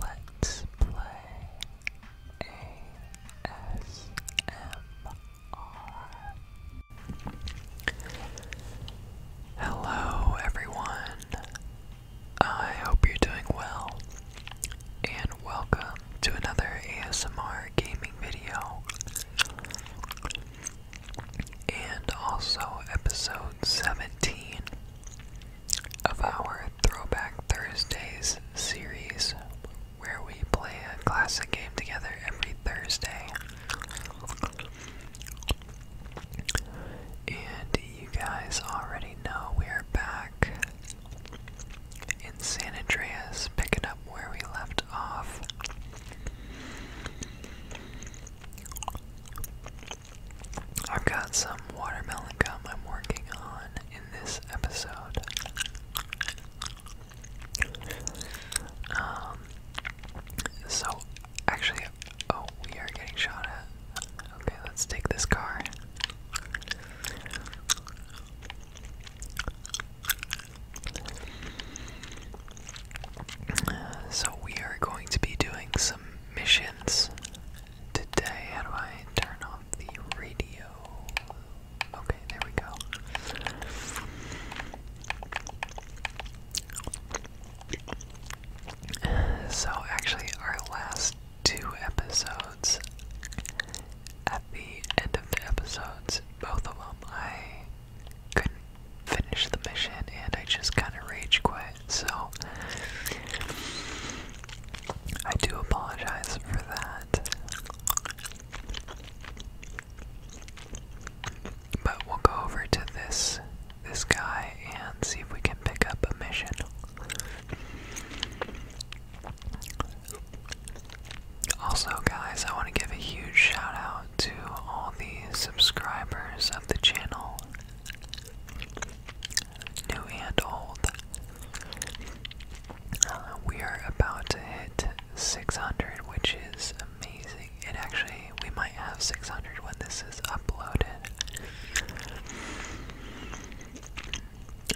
Let's play ASMR. Hello, everyone. I hope you're doing well, and welcome to another ASMR gaming video, and also episode 17 of our Throwback Thursdays series where we play a classic game together every Thursday. And you guys already know we are back in San Andreas, picking up where we left off. I've got some watermelon gum I'm working on in this episode. Um, so, actually, oh, we are getting shot at. Okay, let's take this car. so, we are going to be doing some missions today. How do I turn off the radio? Okay, there we go. So, actually, our last two episodes, at the end of the episodes, both of them, I couldn't finish the mission and I just kind of rage quit so I do apologize for that. But we'll go over to this this guy and see if we can pick up a mission. Also, guys, I want to give a huge shout out to all the subscribers of the channel new and old. we are about to hit 600, which is amazing. And actually, we might have 600 when this is uploaded.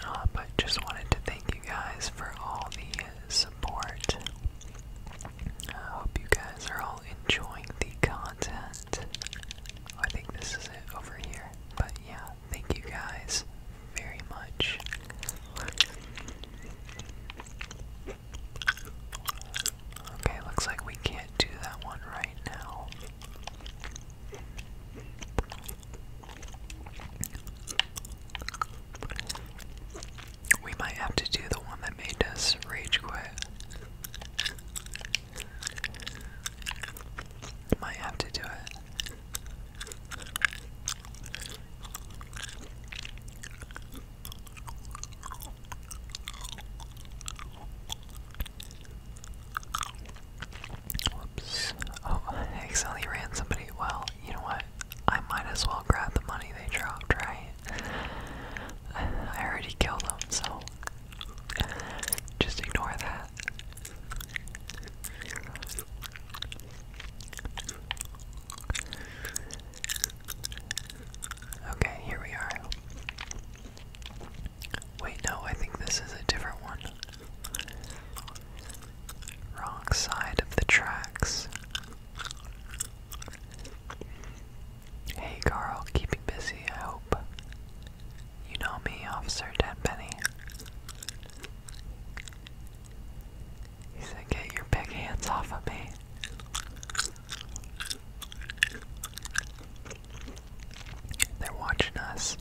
Uh, but just wanted to thank you guys for all the support. I hope you guys are all enjoying the content. I think this is it over here. But yeah, thank you guys very much. Okay, looks like we can't do that one right now. We might have to do the one that made us rage quit. Might have to do it. Whoops. Oh, accidentally ran somebody. Well, you know what? I might as well grab the money they dropped, right? I already killed them, so just ignore that. Okay, here we are. Wait, no, I think this is a different one. Wrong side of the tracks. Hey Carl, keeping busy, I hope. You know me, Officer Tenpenny. He said, Get your big hands off of me. They're watching us.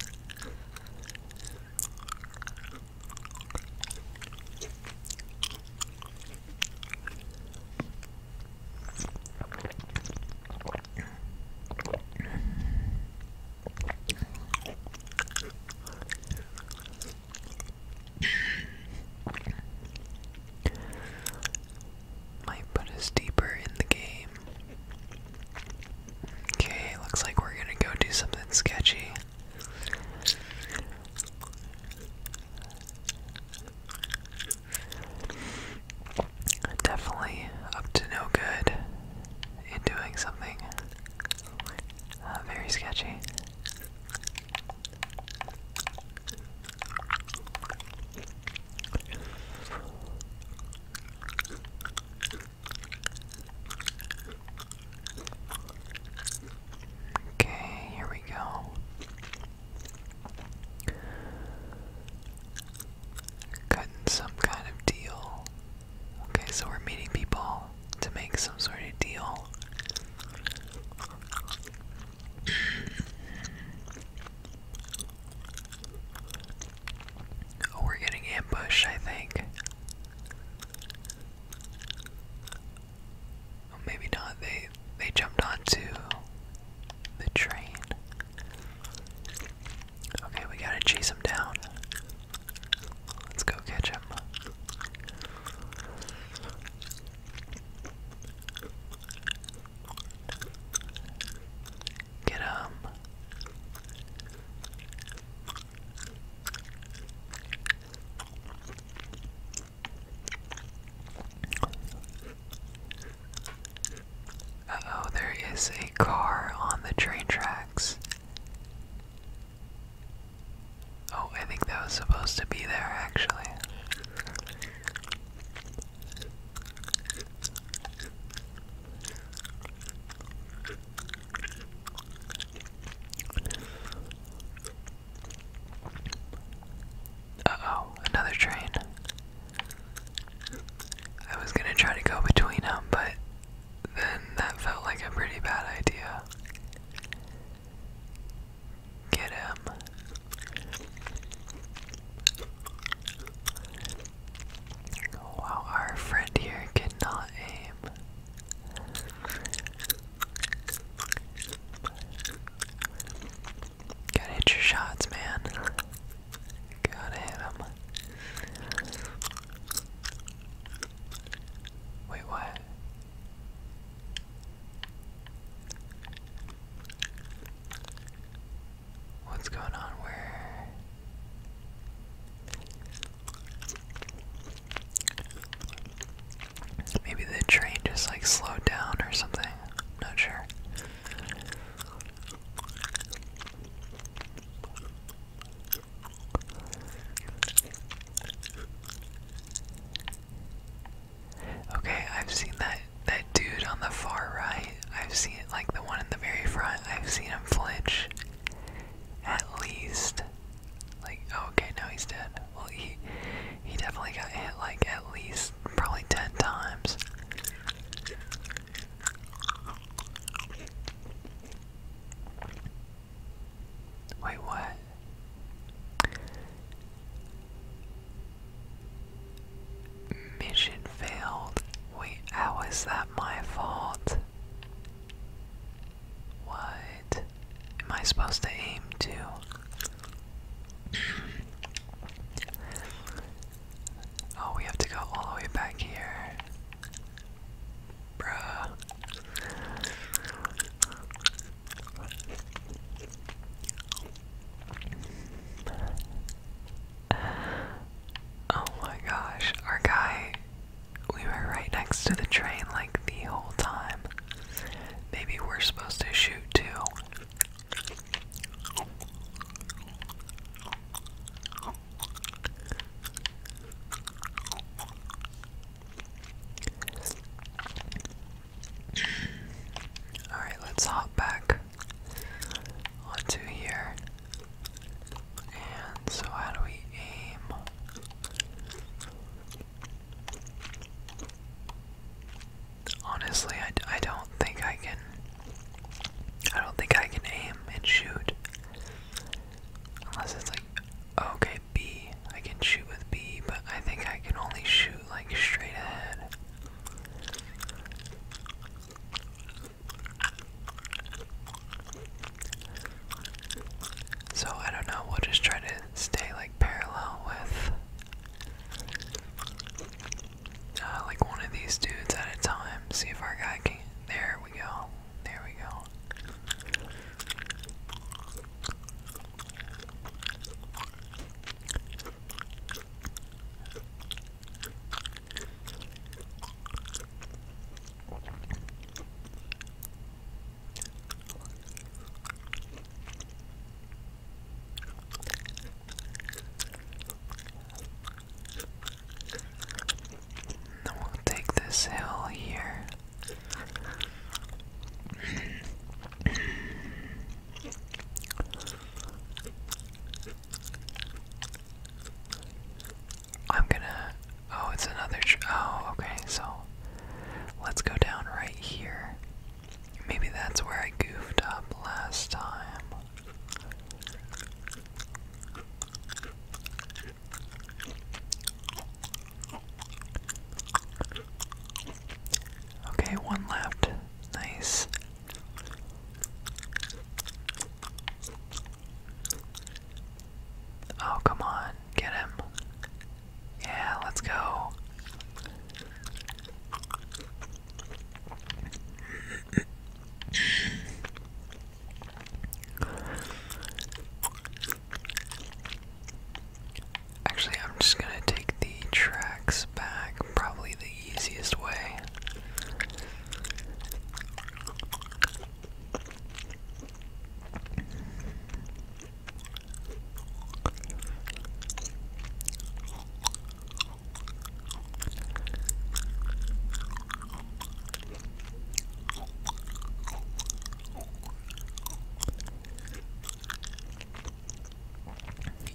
Might put us deeper in the game. Okay, looks like we're gonna go do something sketchy. Definitely up to no good in doing something uh, very sketchy. Okay, here we go. Cutting some kind of deal. Okay, so we're meeting people to make some sort of deal. Oh, we're getting ambushed, I think maybe not. They they jumped onto the train. Okay, we gotta chase him down. Let's go catch him. Get oh, there is a car on the train tracks. Oh, I think that was supposed to be there actually. Uh oh, another train. I was gonna try to go between them, but then that felt like a pretty bad idea. Get him. wow, our friend here cannot aim. Gotta hit your shots, man. Gotta hit them. Wait, what? What's going on? Where? Maybe the train just like slowed down or something. I'm not sure. Okay, I've seen that that dude on the far right. I've seen like the one in the very front. I've seen him flinch at least like oh, okay, no he's dead. Well he he definitely got hit like at least probably 10 times. Wait, what? Mission failed. Wait, how is that my fault? What? Am I supposed to aim too? Oh, we have to go all the way back here. Bruh. Oh my gosh, our guy, we were right next to the train like the whole time. Maybe we're supposed to shoot too. All right, let's hop back onto here. And so, how do we aim? Honestly, I, I don't think I can. I don't think I can aim and shoot. Unless it's like, okay, B. I can shoot with B, but I think I can only shoot like straight ahead. So I don't know, we'll just try to stay like parallel with uh, like one of these dudes at a time. See if our guy can. There we go. There we go we'll take this hill here. I'm gonna. Oh, it's another. oh, okay, so let's go down right here. Maybe that's where I goofed up last time. Okay, one left. Nice. Oh, come on. Get him. Yeah, let's go. Actually, I'm just gonna take the tracks back, probably the easiest way.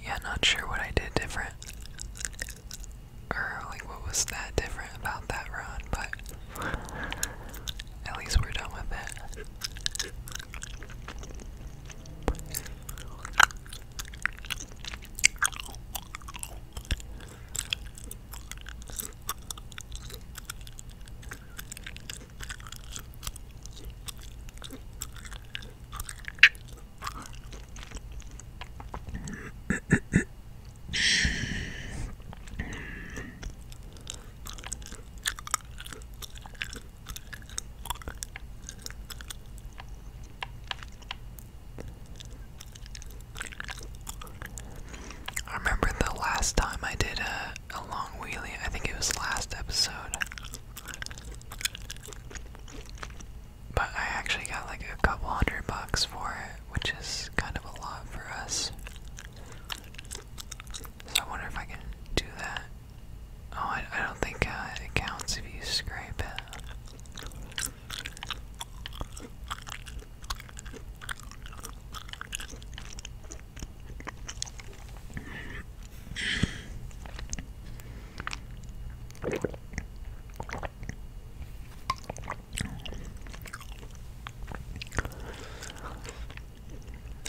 Yeah, not sure what I did different. Or, like, what was that different about that run, but at least we're done with it. I remember the last time I did a, a long wheelie, I think it was last episode. But I actually got like a couple hundred bucks for it, which is kind of a lot for us. So I wonder if I can do that Oh, I, don't think uh, it counts if you scrape it.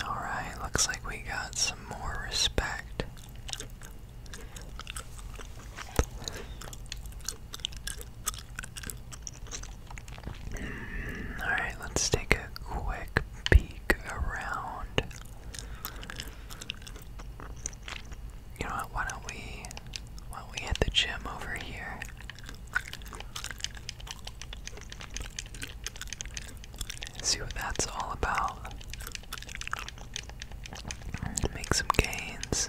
Alright, looks like we got some more respect. Alright, let's take a quick peek around. You know why don't we why don't we hit the gym over here? See what that's all about. Make some gains.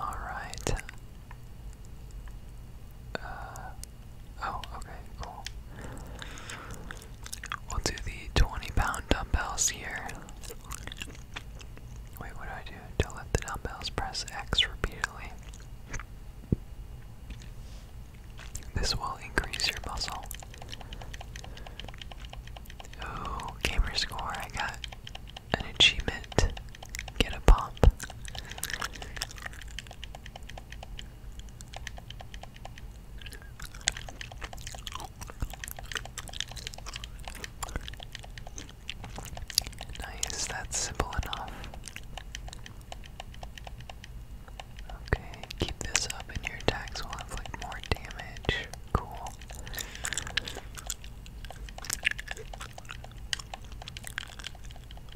All right, uh, oh, okay, cool. We'll do the 20 pound dumbbells here. Wait, what do I do? To lift the dumbbells, press X repeatedly. This will increase your muscle. Ooh, gamer score, I got an achievement, get a pop. Nice, that's simple enough. Okay, keep this up and your attacks will have more damage. Cool.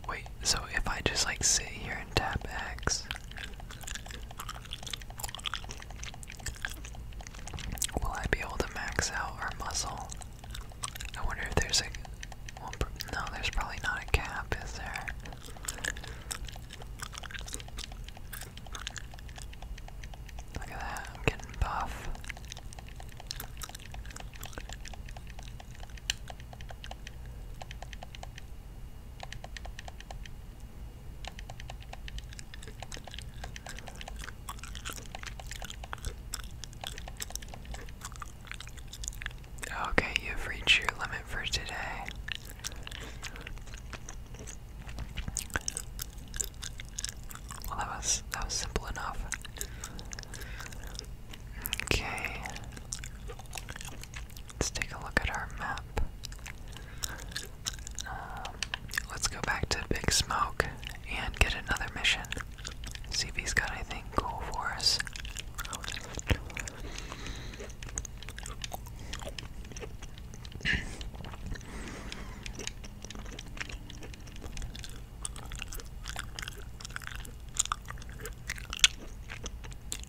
Wait, so if I just like sit here and tap X, will I be able to max out our muscle? I wonder if there's a. no, there's probably not a cap, is there? Look at that, I'm getting buff. Okay, you've reached your limit for today. Well, that was that was simple enough. Okay. Let's take a look at our map. Um, let's go back to Big Smoke and get another mission. See if he's got anything cool for us.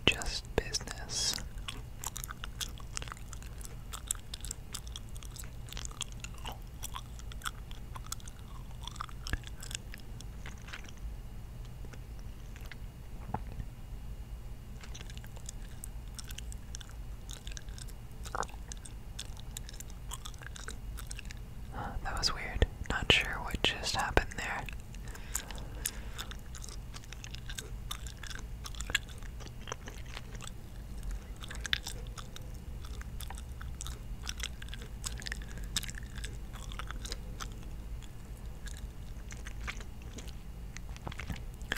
Just business that was weird. Not sure what just happened there.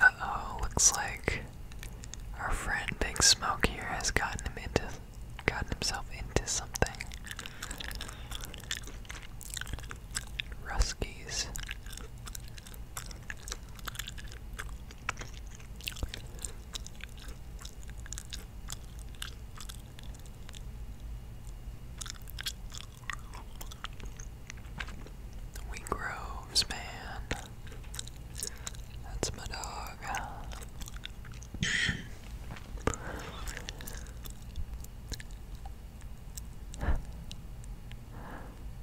Uh oh, looks like our friend Big Smoke here has gotten him into gotten himself into something. Ruskies. Wheat groves, man. That's my dog.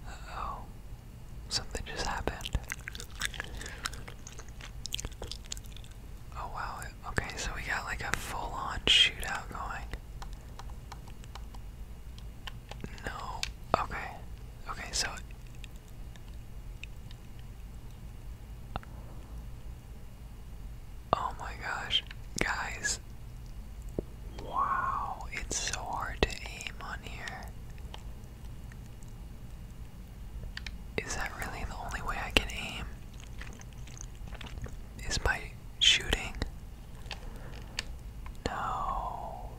oh. Something just happened. Oh wow. Okay, so we got like a full on shootout going. No. Okay. Okay, so Oh my gosh, guys. Wow, it's so hard to aim on here. Is that really the only way I can aim? Is my shooting? No.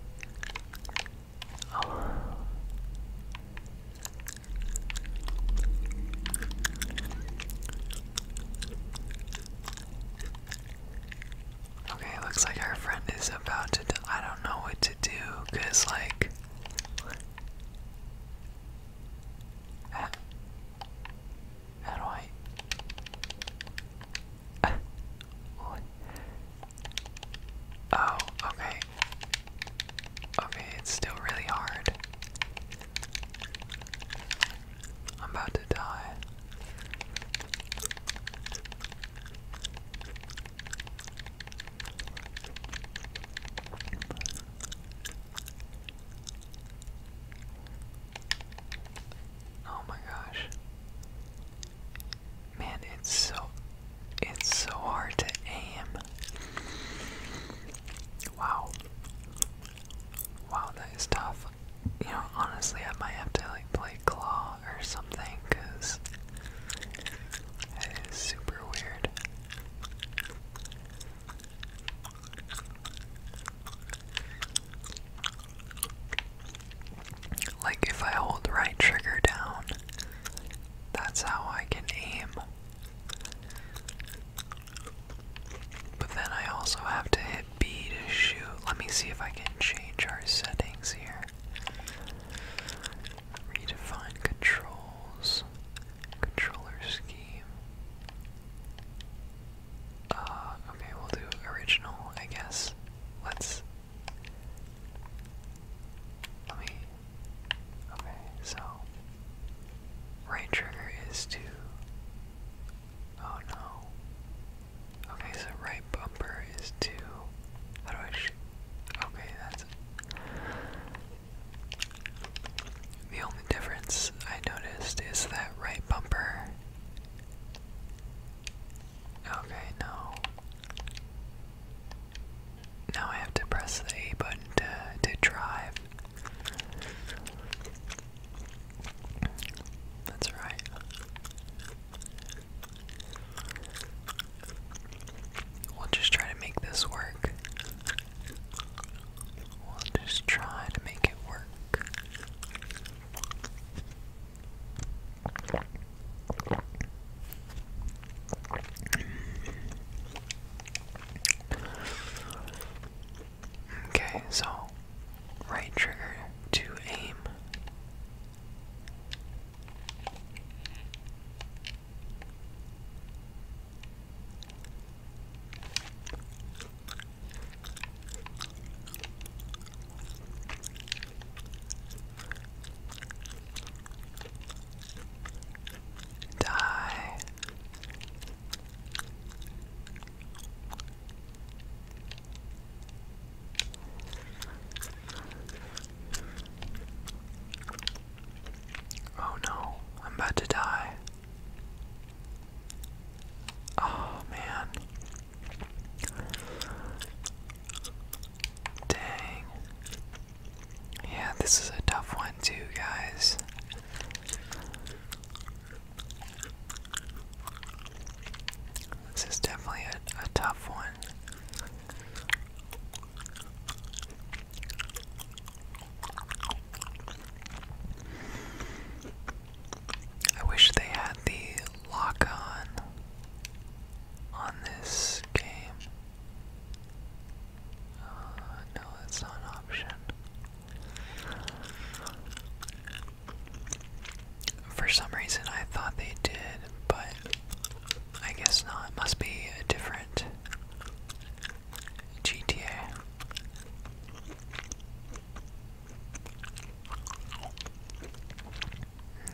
Okay, looks like our friend is about to. I don't know what to do, cause like. how do I? Oh, okay. Okay. it's still really hard. I'm about to die. Oh my gosh. Man, it's so it's so hard to aim. Wow. Wow, that is tough. You know, honestly, I might have to like play claw or something cuz that is super weird. Like if I hold right trigger down, that's how I can aim. But then I also have to hit B to shoot. Let me see if I can change our settings here. Redefine controls, controller scheme. Uh, okay, we'll do original, I guess. Let's let me. Okay, so. Right trigger is to. Oh no. Okay, so right bumper is to. How do I Okay, that's. The only difference I noticed is that right bumper. Okay, no. Now I have to press the A button to, to drive. That's right. We'll just try to make this work. We'll just try to make it work. Okay, so right trigger to aim. Die. Oh no, I'm about to die. Oh man. Dang. Yeah, this is a tough one, too, guys. This is definitely a, a tough one. I wish they had the lock on on this game. Uh, no, that's not option. For some reason, I thought they did, but I guess not. It must be a different GTA.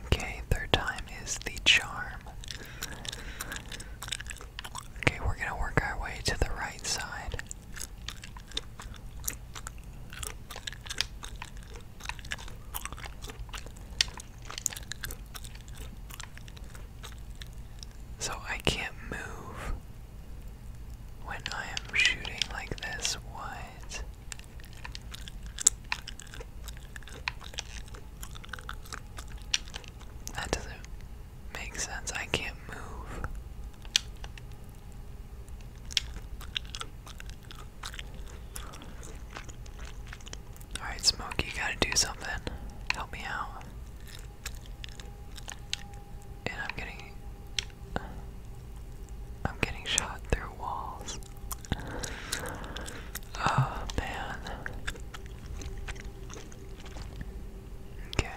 Okay, third time is the charm. Okay, we're gonna work our way to the right side. So I can't move when I am shooting like this. What? That doesn't make sense. I can't move. Alright, Smokey, gotta do something. Help me out. And I'm getting. I'm getting shot through walls. Oh man. Okay.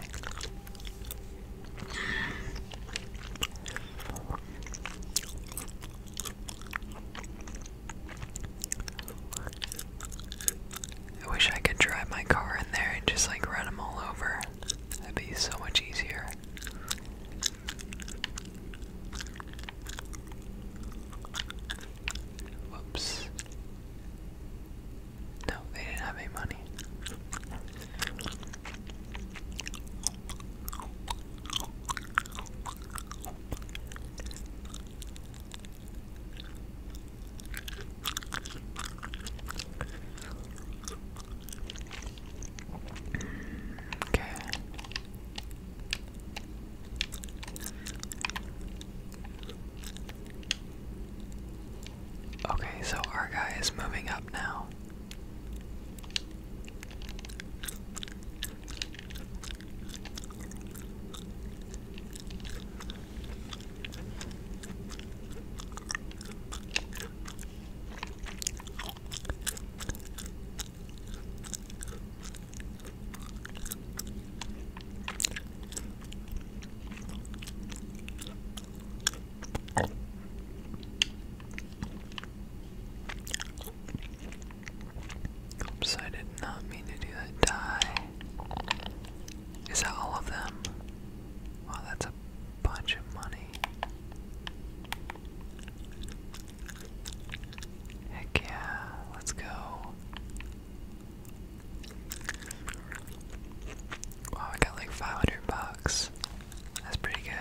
I wish I could drive my car in there and just like run them all over. That'd be so much easier. Whoops. No, they didn't have any money. Okay. Okay, so our guy is moving up now. Oops, I did not mean to do that. Die. Is that all of them? Wow, that's a bunch of money. Heck yeah, let's go. Wow, I got like 500 bucks. That's pretty good.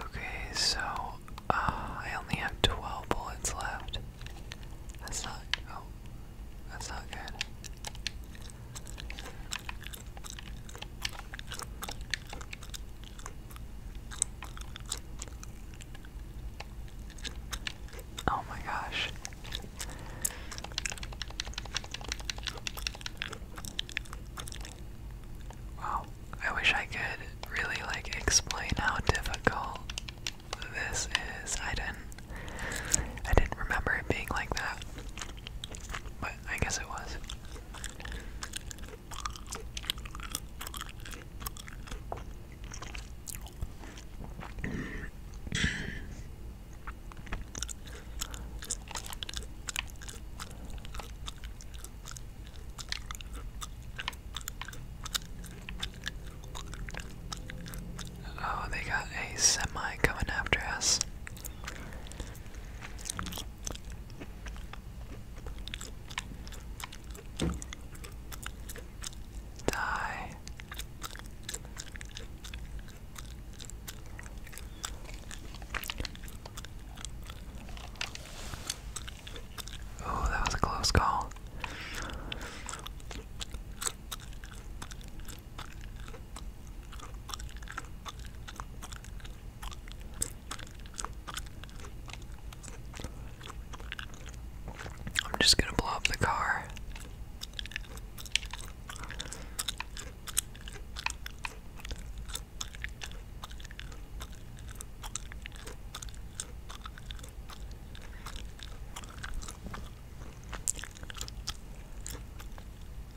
Okay, so uh, I only have 12 bullets left. That's not. Oh, that's not good. Oh my gosh. Wow. I wish I could really like explain how difficult this is. I didn't I didn't remember it being like that. But I guess it was. Oh, they got a semi coming after us. Die. Oh, that was a close call. I'm just gonna blow up the car.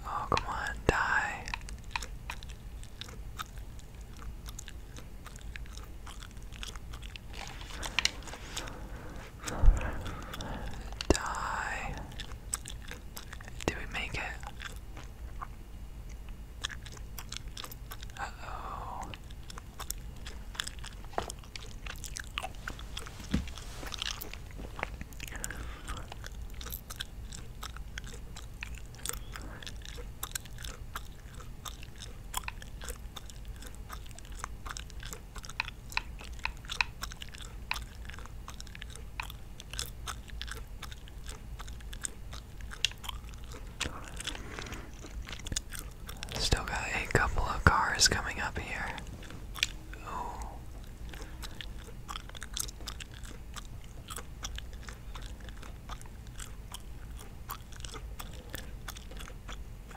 Oh, come on, die. Die. Did we make it? Uh oh. Still got a couple of cars coming up here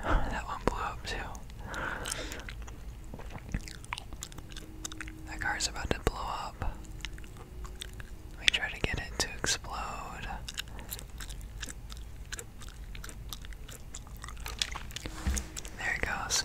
that one blew up too. That car's about to blow up. We try to get it to explode. There it goes.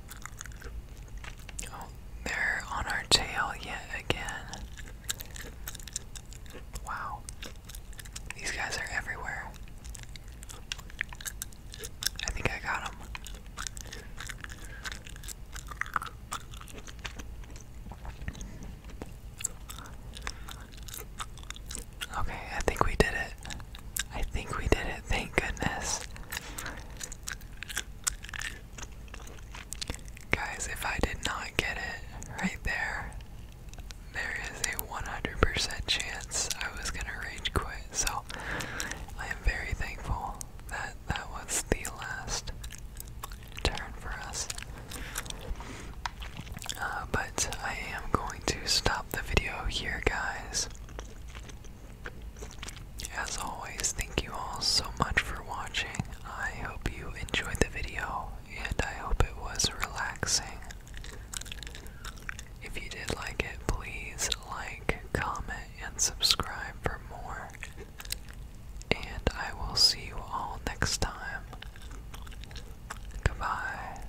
Oh, they're on our tail yet again. Wow. These guys are everywhere. I think I got them. Okay, I think we did it. I think we did it. Thank goodness. Guys, if I did not get it right there, there is a 100% chance I was gonna rage quit. So I am very thankful that that was the last turn for us. Uh, but I am going to stop the video here, guys. As always, thank you all so much for watching. I hope you enjoyed the video and I hope it was relaxing. If you did like it, please like, comment, and subscribe for more. And I will see you all next time. Goodbye.